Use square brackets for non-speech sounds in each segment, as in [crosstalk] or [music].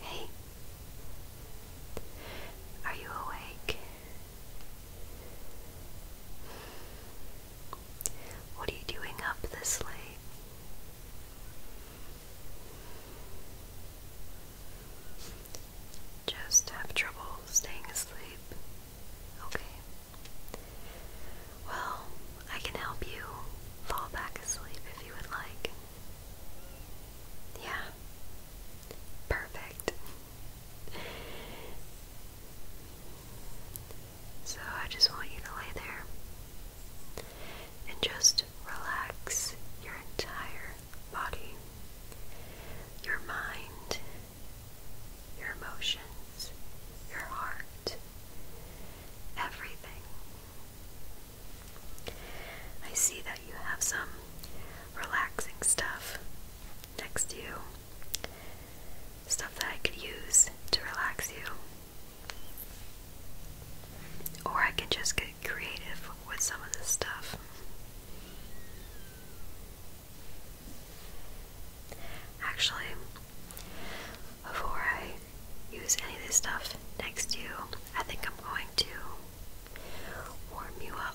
Hey, are you awake? What are you doing up this late? Just have trouble staying asleep. Okay. Well, I can help you fall back asleep if you would like. Yeah. Perfect. So I just want you to lay there and just relax your entire body, your mind, your emotions, your heart, everything. I see that you have some relaxing stuff next to you, stuff that I could use to relax you. Or I can just get creative with some of this stuff. Actually, before I use any of this stuff next to you, I think I'm going to warm you up.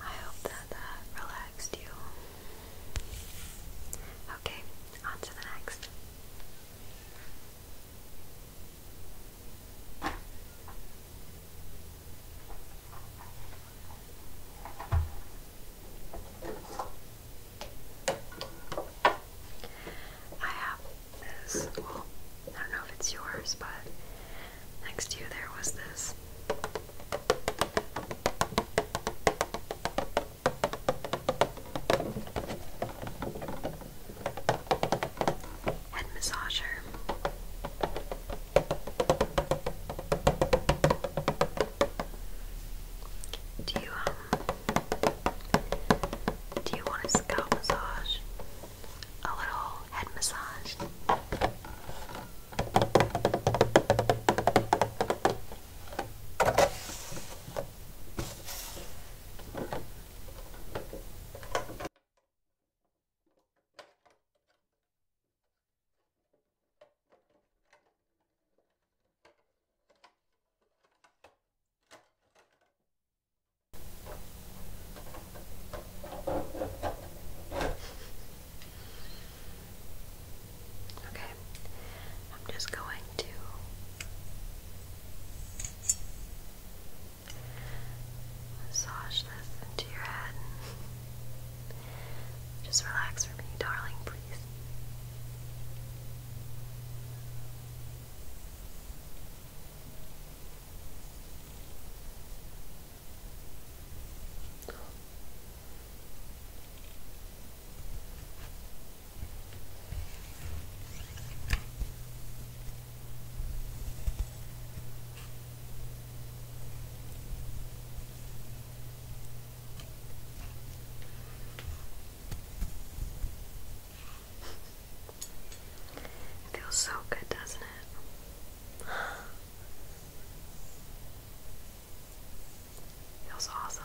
I hope that that relaxed you. Okay, on to the next. I have this, I don't know if it's yours, but next to you there was this. Head massager. Do you um do you want a scalp massage? A little head massage? Okay, I'm just going to massage this into your head. Just relax for me, darling, please. It feels so good, doesn't it? Feels awesome.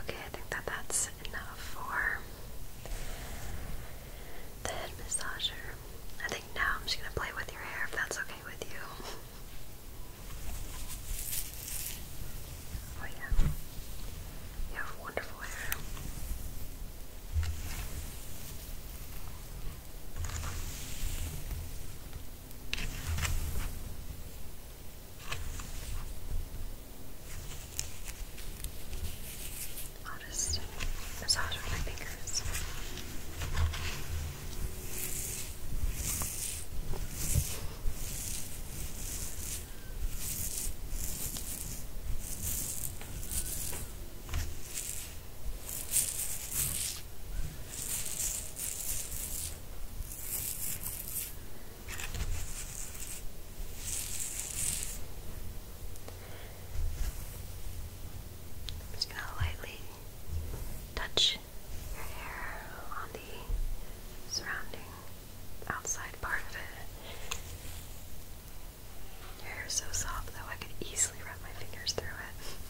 Okay, I think that that's enough for the head massager. I think now I'm just going to play with your hair if that's okay with you. Oh, yeah. You have wonderful hair. I'll just massage with my fingers just going to lightly touch your hair on the surrounding outside part of it. Your hair is so soft though I could easily run my fingers through it.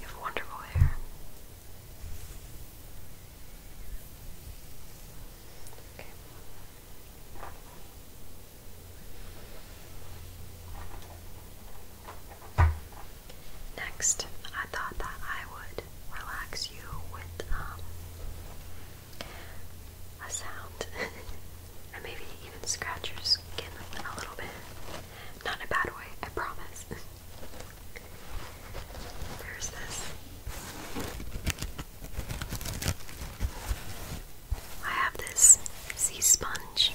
You have wonderful hair. Okay. Next, I thought that I would relax you with um, a sound [laughs] and maybe even scratch your skin a little bit. Not a bad way, I promise. There's this. I have this sea sponge.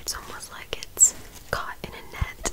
It's almost like it's caught in a net.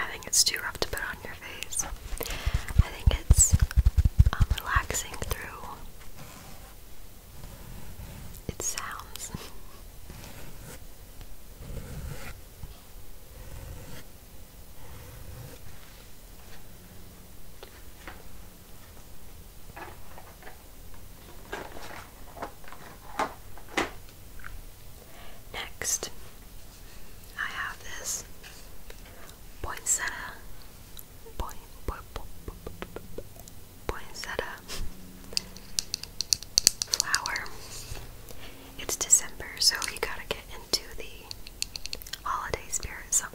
I think it's too rough to put on your face. I think it's um, relaxing through it sounds. Next, I have this poinsettia poinsettia flower. It's December, so you gotta get into the holiday spirit somehow.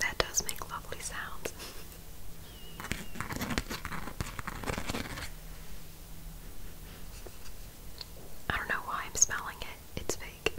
That does make lovely sounds. I don't know why I'm smelling it. It's fake. [laughs]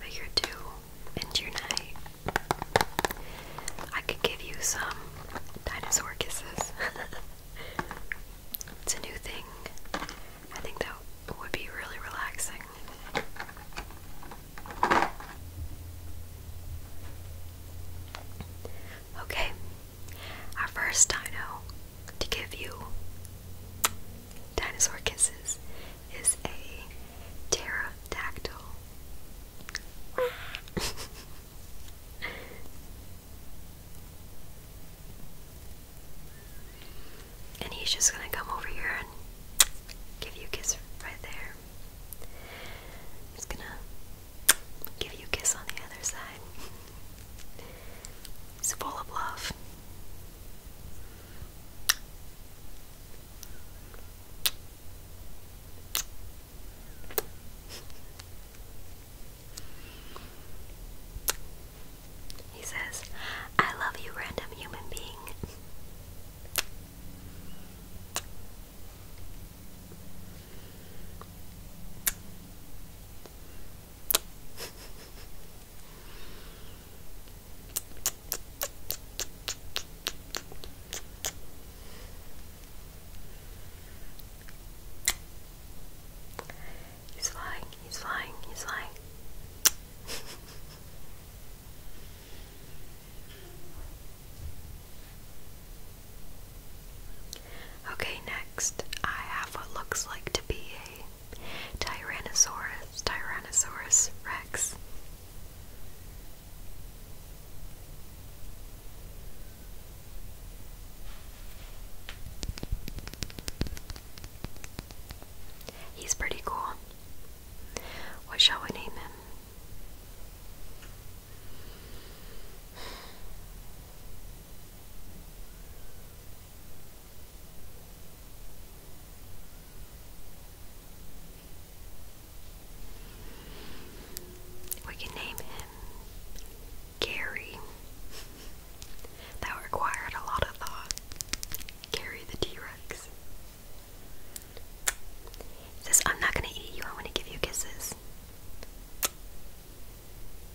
Figure two, into night. I could give you some dinosaur kisses. [laughs] it's a new thing. I think that would be really relaxing. Okay, our first dino to give you dinosaur kisses is a pterodactyl. [laughs] and he's just gonna come over here and give you a kiss right there. He's gonna give you a kiss on the other side. [laughs] It's full of love. He says, I love you, random human being. He's flying, he's flying, he's flying. [laughs] okay, next I have what looks like to be a Tyrannosaurus, Tyrannosaurus rex. He's pretty cool. What shall we name him? We can name him Gary. that required a lot of thought. Gary the T Rex. says, I'm not gonna eat you, I'm gonna give you kisses.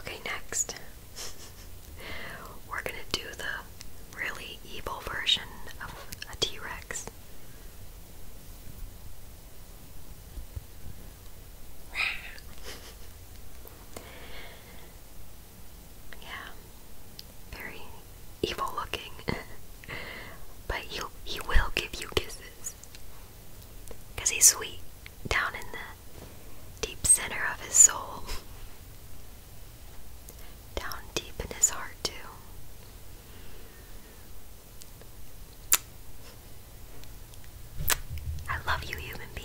Okay, next. We're gonna do the really evil version of a T Rex. yeah, very evil looking, [laughs] but he he will give you kisses because he's sweet down in the deep center of his soul, down deep in his heart, too. I love you, human being.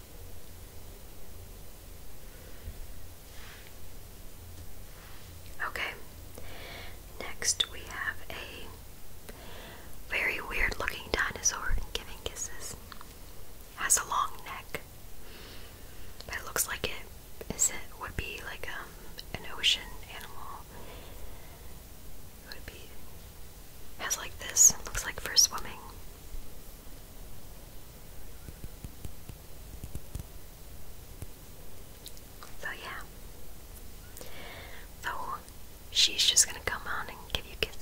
Okay, next we have a very weird looking dinosaur giving kisses. Has a long neck, That looks like it is it would be like um an ocean animal. would be has like this. Looks like for swimming. So yeah. So she's just gonna come on and give you kisses.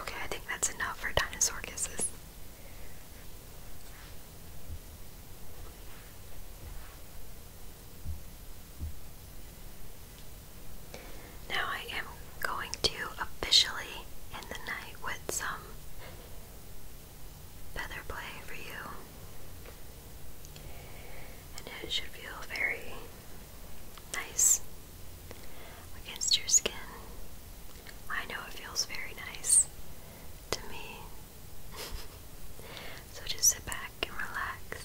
Okay, I think that's enough for dinosaur kisses. Now I am going to officially end the night with some feather play for you. And it should feel very nice against your skin. I know it feels very nice to me. [laughs] so just sit back and relax.